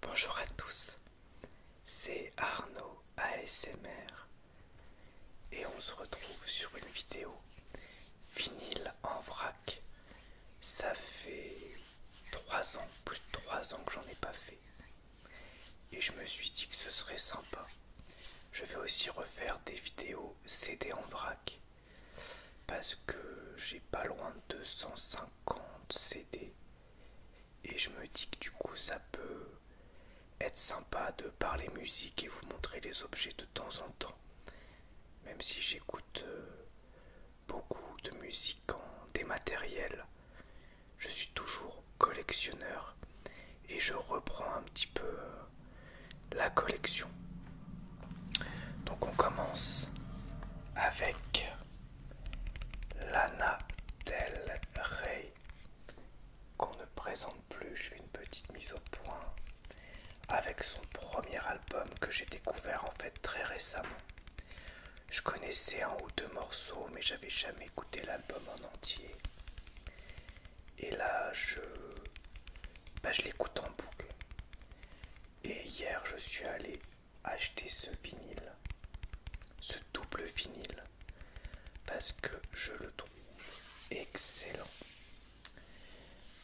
Bonjour à tous, c'est Arnaud ASMR et on se retrouve sur une vidéo vinyle en vrac. Ça fait 3 ans, plus de 3 ans que j'en ai pas fait. Et je me suis dit que ce serait sympa. Je vais aussi refaire des vidéos CD en vrac. Parce que j'ai pas loin de 250 CD. Et je me dis que du coup ça peut être sympa de parler musique et vous montrer les objets de temps en temps. Même si j'écoute euh, beaucoup de musique en dématériel, je suis toujours collectionneur et je reprends un petit peu euh, la collection. Donc on commence avec Lana Del Rey qu'on ne présente plus. Je fais une petite mise au point avec son premier album que j'ai découvert en fait très récemment. Je connaissais un ou deux morceaux mais j'avais jamais écouté l'album en entier. Et là, bah, je, l'écoute en boucle. Et hier, je suis allé acheter ce vinyle, ce double vinyle, parce que je le trouve excellent.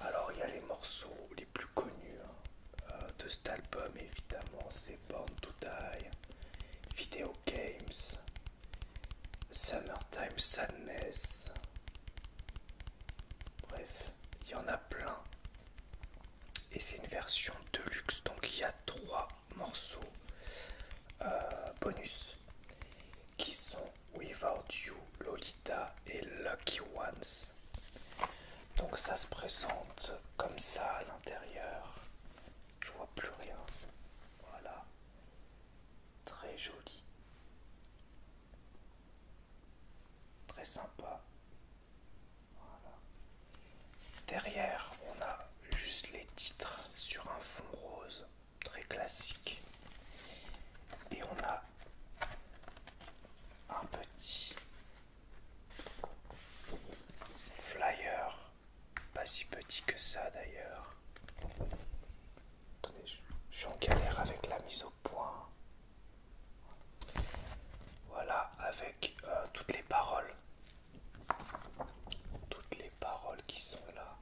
Alors, il y a les morceaux les plus connus hein, euh, de cet album, évidemment, c'est Born to Die. Video Games, Summertime Sadness. Bref, il y en a plein. Et c'est une version deluxe, donc il y a trois morceaux euh, bonus qui sont Without You, Lolita et Lucky Ones. Donc ça se présente comme ça à l'intérieur. Je vois plus rien. Voilà. Très joli. Très sympa. Voilà. Derrière, on a juste les titres sur un fond rose, très classique. Et on a un petit flyer pas si petit que ça d'ailleurs. Attendez, je suis en galère avec la mise au point. Voilà, avec euh, toutes les paroles. Toutes les paroles qui sont là.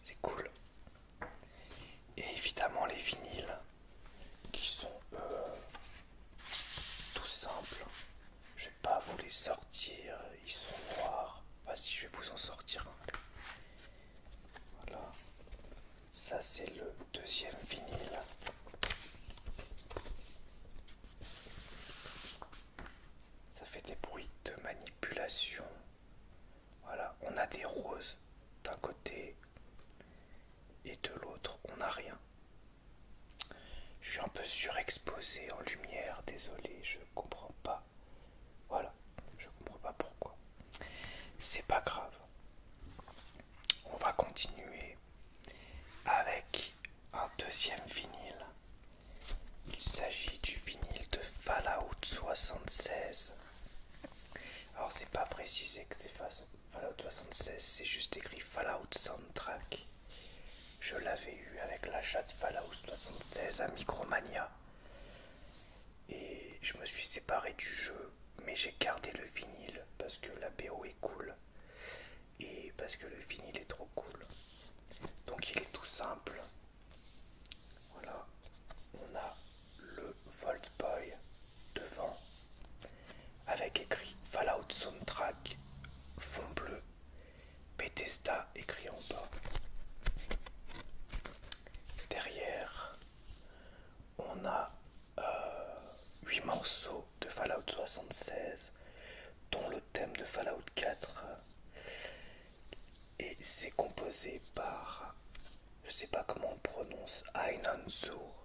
C'est cool. Et évidemment les vinyles qui sont euh, tout simple. Je vais pas vous les sortir, euh, ils sont noirs. Pas bah, si je vais vous en sortir Voilà. Ça c'est le deuxième vinyle. Ça fait des bruits de manipulation. Voilà, on a des roses d'un côté et de l'autre on n'a rien. Je suis un peu surexposé en lumière, désolé, je comprends pas. Voilà, je comprends pas pourquoi. C'est pas grave. On va continuer avec un deuxième vinyle. Il s'agit du vinyle de Fallout 76. Alors c'est pas précisé que c'est face Fallout 76, c'est juste écrit Fallout Soundtrack. Je l'avais eu avec l'achat de Fallout 76 à Micromania. Et je me suis séparé du jeu, mais j'ai gardé le vinyle parce que la BO est cool. Et parce que le vinyle est trop cool. Donc il est tout simple. Voilà, on a le Volt Boy devant, avec écrit Fallout Soundtrack, fond bleu, Bethesda écrit en bas. Derrière, on a euh, huit morceaux de Fallout 76, dont le thème de Fallout 4. Et c'est composé par, je sais pas comment on prononce, Ainan Zour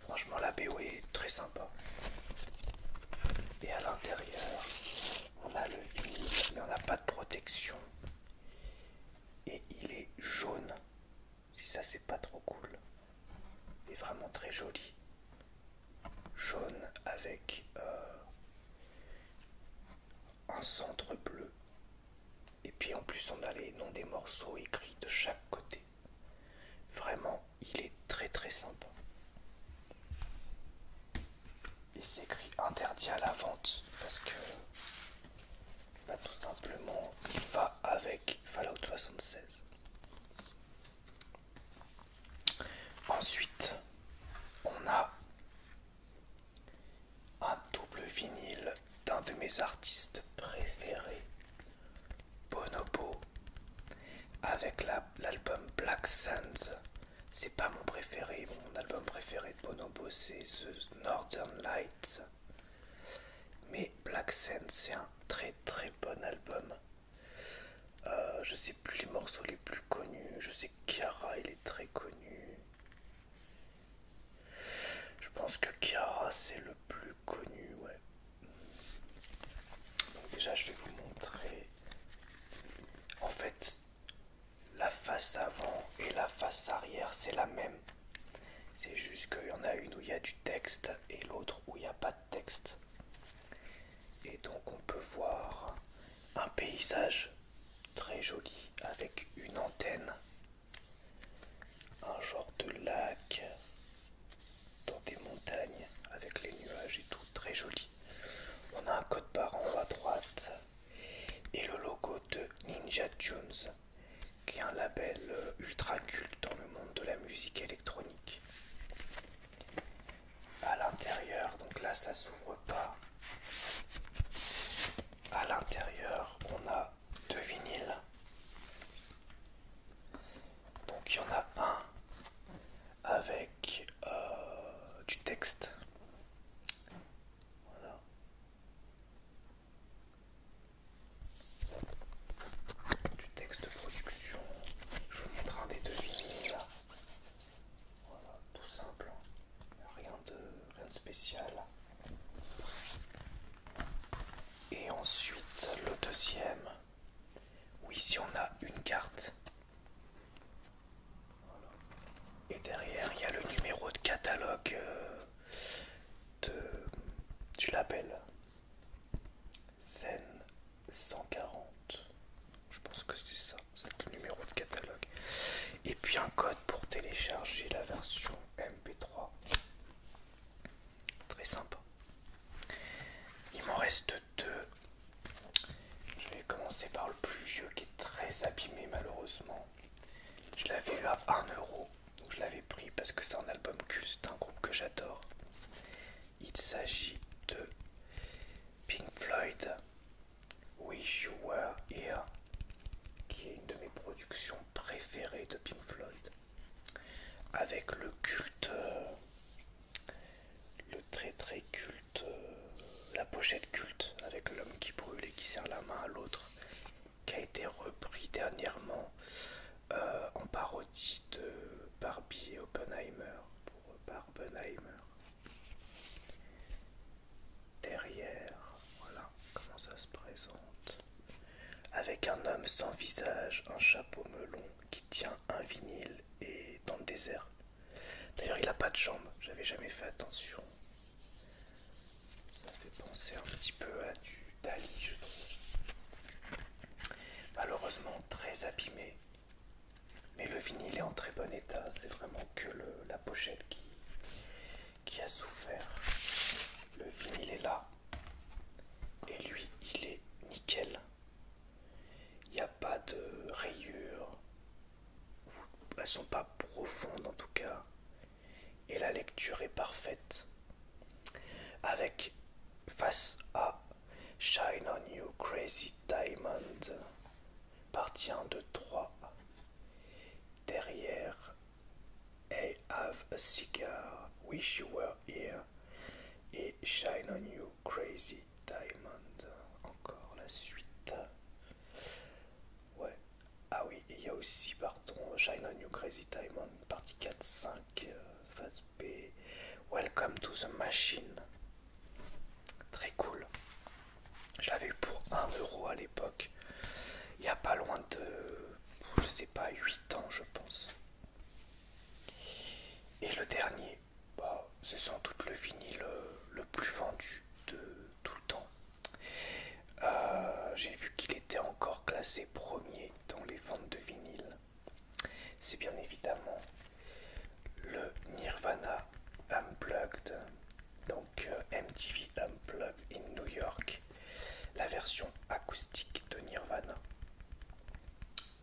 Franchement, la BO est très sympa. Et à l'intérieur, on a le Il mais on n'a pas de protection. Et il est jaune. Si ça, c'est pas trop cool. Il est vraiment très joli. Jaune avec euh, un centre bleu. Et puis en plus on a les noms des morceaux écrits de chaque côté. Vraiment, il est très très sympa. Il s'écrit interdit à la vente parce que bah, tout simplement il va avec Fallout 76. Ensuite, on a un double vinyle d'un de mes artistes préférés, Bonobo, avec l'album Black Sands. C'est pas mon préféré, mon album préféré de Bonobo c'est The Northern Lights. Mais Black Sands c'est un très très bon album. Euh, je sais plus les morceaux les plus connus, je sais que Kiara il est très connu. Je pense que Kiara c'est le plus connu, ouais. Donc déjà je vais vous montrer en fait la face avant et la face arrière c'est la même. C'est juste qu'il y en a une où il y a du texte et l'autre où il n'y a pas de texte. Et donc on peut voir un paysage très joli avec une antenne un genre de lac dans des montagnes avec les nuages et tout, très joli. On a un code barre en bas à droite et le logo de Ninja Tunes, qui est un label euh, ultra culte dans le monde de la musique électronique. À l'intérieur, donc là ça s'ouvre pas. À l'intérieur, on a deux vinyles. Donc il y en a un avec euh, du texte. Du texte de production. Je vous montre un des deux vinyles Voilà, tout simple. Rien de, rien de spécial. Et ensuite le deuxième, oui, ici on a une carte. Et derrière il y a le numéro de catalogue euh, de, du label. zen 140. Je pense que c'est ça, c'est le numéro de catalogue. Et puis un code pour télécharger la version MP3. Très sympa. Il m'en reste deux. Je vais commencer par le plus vieux qui est très abîmé malheureusement. Je l'avais eu à 1€. Donc je l'avais pris parce que c'est un album culte, c'est un groupe que j'adore. Il s'agit de Pink Floyd Wish You Were Here, qui est une de mes productions préférées de Pink Floyd, avec le culte, euh, le très très culte, euh, la pochette culte avec l'homme qui brûle et qui serre la main à l'autre, qui a été repris dernièrement euh, en parodie de Barbie et Oppenheimer pour Barbenheimer. Derrière, voilà comment ça se présente. Avec un homme sans visage, un chapeau melon qui tient un vinyle et dans le désert. D'ailleurs, il n'a pas de jambes, j'avais jamais fait attention. Ça fait penser un petit peu à du Dali, je trouve. Malheureusement très abîmé. Mais le vinyle est en très bon état, c'est vraiment que la pochette qui, a souffert. Le vinyle est là. Et lui, il est nickel. Il n'y a pas de rayures. Elles sont pas profondes en tout cas. Et la lecture est parfaite. Avec face à Shine on You Crazy Diamond 1, 2, 3, Derrière I Have a Cigar, Wish You Were Here et Shine on You Crazy Diamond. Encore la suite. Ouais. Ah oui, il y a aussi, pardon, Shine on You Crazy Diamond, partie 4, 5, euh, phase B. Welcome to the Machine. Très cool. Je l'avais eu pour 1€ euro à l'époque. Il y a pas loin de, je sais pas, 8 ans je pense. Et le dernier, bah, c'est sans doute le vinyle euh, le plus vendu de tout le temps. Euh, j'ai vu qu'il était encore classé premier dans les ventes de vinyle. C'est bien évidemment le Nirvana Unplugged, donc euh, MTV Unplugged in New York, la version acoustique de Nirvana.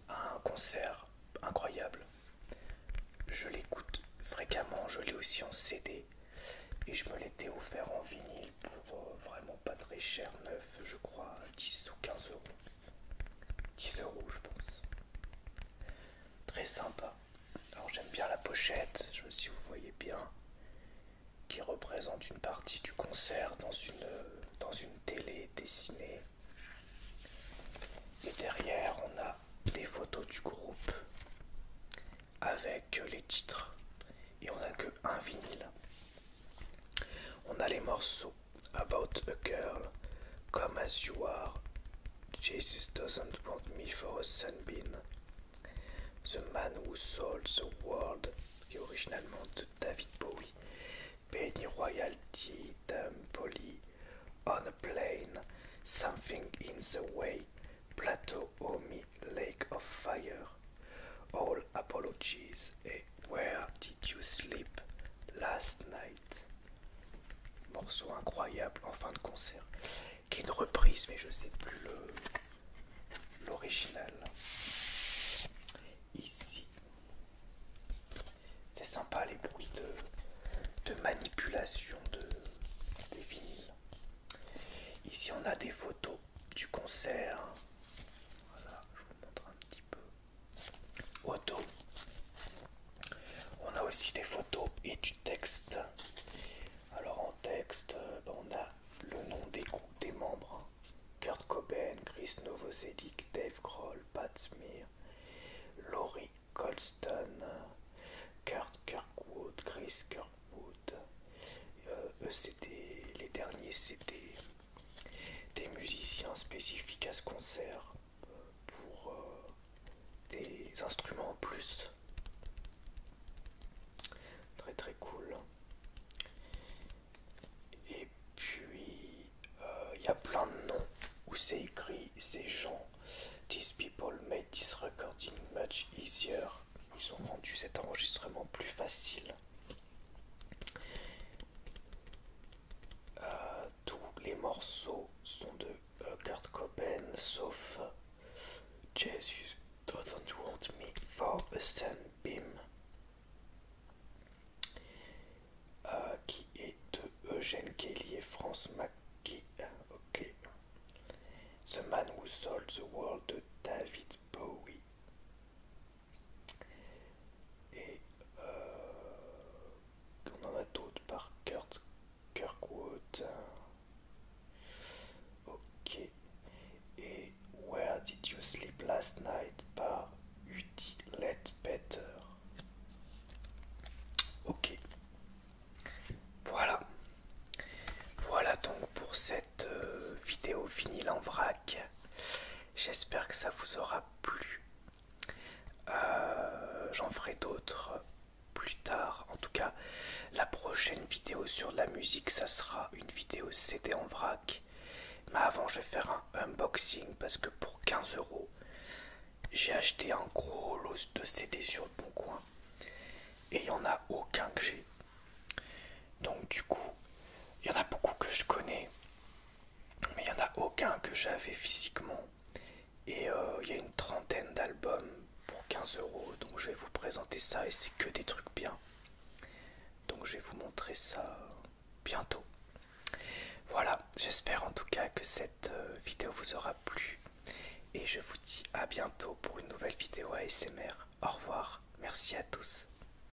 Un concert incroyable. Je l'écoute fréquemment, je l'ai aussi en CD et je me l'étais offert en vinyle pour euh, vraiment pas très cher, neuf, je crois 10 ou 15 euros. 10 euros, je pense. Très sympa. Alors j'aime bien la pochette, je sais si vous voyez bien, qui représente une partie du concert dans une, dans une télé dessinée. Et derrière, on a des photos du groupe avec les titres. Et on a que un vinyle. On a les morceaux about a girl, come as you are. Jesus doesn't want me for a sunbeam. The man who sold the world, qui est originalement de David Bowie, Penny royalty poly on a plane, something in the way, plateau Omi, lake of fire. All apologies et eh, where Did You Sleep Last Night Morceau incroyable en fin de concert, qui est une reprise, mais je sais plus l'original. Ici, c'est sympa les bruits de, manipulation de, des Ici, on a des photos du concert. Voilà, je vous montre un petit peu auto. On a aussi des photos et du texte. Alors en texte, euh, bah, on a le nom des groupes des membres. Kurt Cobain, Chris Novoselic, Dave Grohl, Pat Smear, Laurie Colston, Kurt Kirkwood, Chris Kirkwood. Euh, c'était les derniers, c'était des musiciens spécifiques à ce concert pour euh, des instruments en plus. Très très cool. Et puis il euh, y a plein de noms où c'est écrit ces gens. These people made this recording much easier. Ils ont rendu cet enregistrement plus facile. Euh, tous les morceaux sont de euh, Kurt Cobain, sauf Jesus doesn't want me for a sunbeam, euh, qui est de Eugène Kelly et France McGee, « The Man Who Sold the World de David Bowie. Et euh, on en a d'autres par Kurt Kirkwood. Ok. Et Where Did You Sleep Last Night par Utilet Better. Ok. Voilà. Voilà donc pour cette euh, vidéo vinyle en vrac. J'espère que ça vous aura plus euh, J'en ferai d'autres plus tard. En tout cas, la prochaine vidéo sur la musique, ça sera une vidéo CD en vrac. Mais avant, je vais faire un unboxing parce que pour 15 euros, j'ai acheté un gros lot de CD sur le bon coin et il n'y en a aucun que j'ai. Donc, du coup, il y en a beaucoup que je connais, mais il n'y en a aucun que j'avais physiquement. Et euh, il y a une trentaine d'albums pour 15 euros, donc je vais vous présenter ça et c'est que des trucs bien. Donc je vais vous montrer ça bientôt. Voilà, j'espère en tout cas que cette euh, vidéo vous aura plu. Et je vous dis à bientôt pour une nouvelle vidéo ASMR. Au revoir, merci à tous.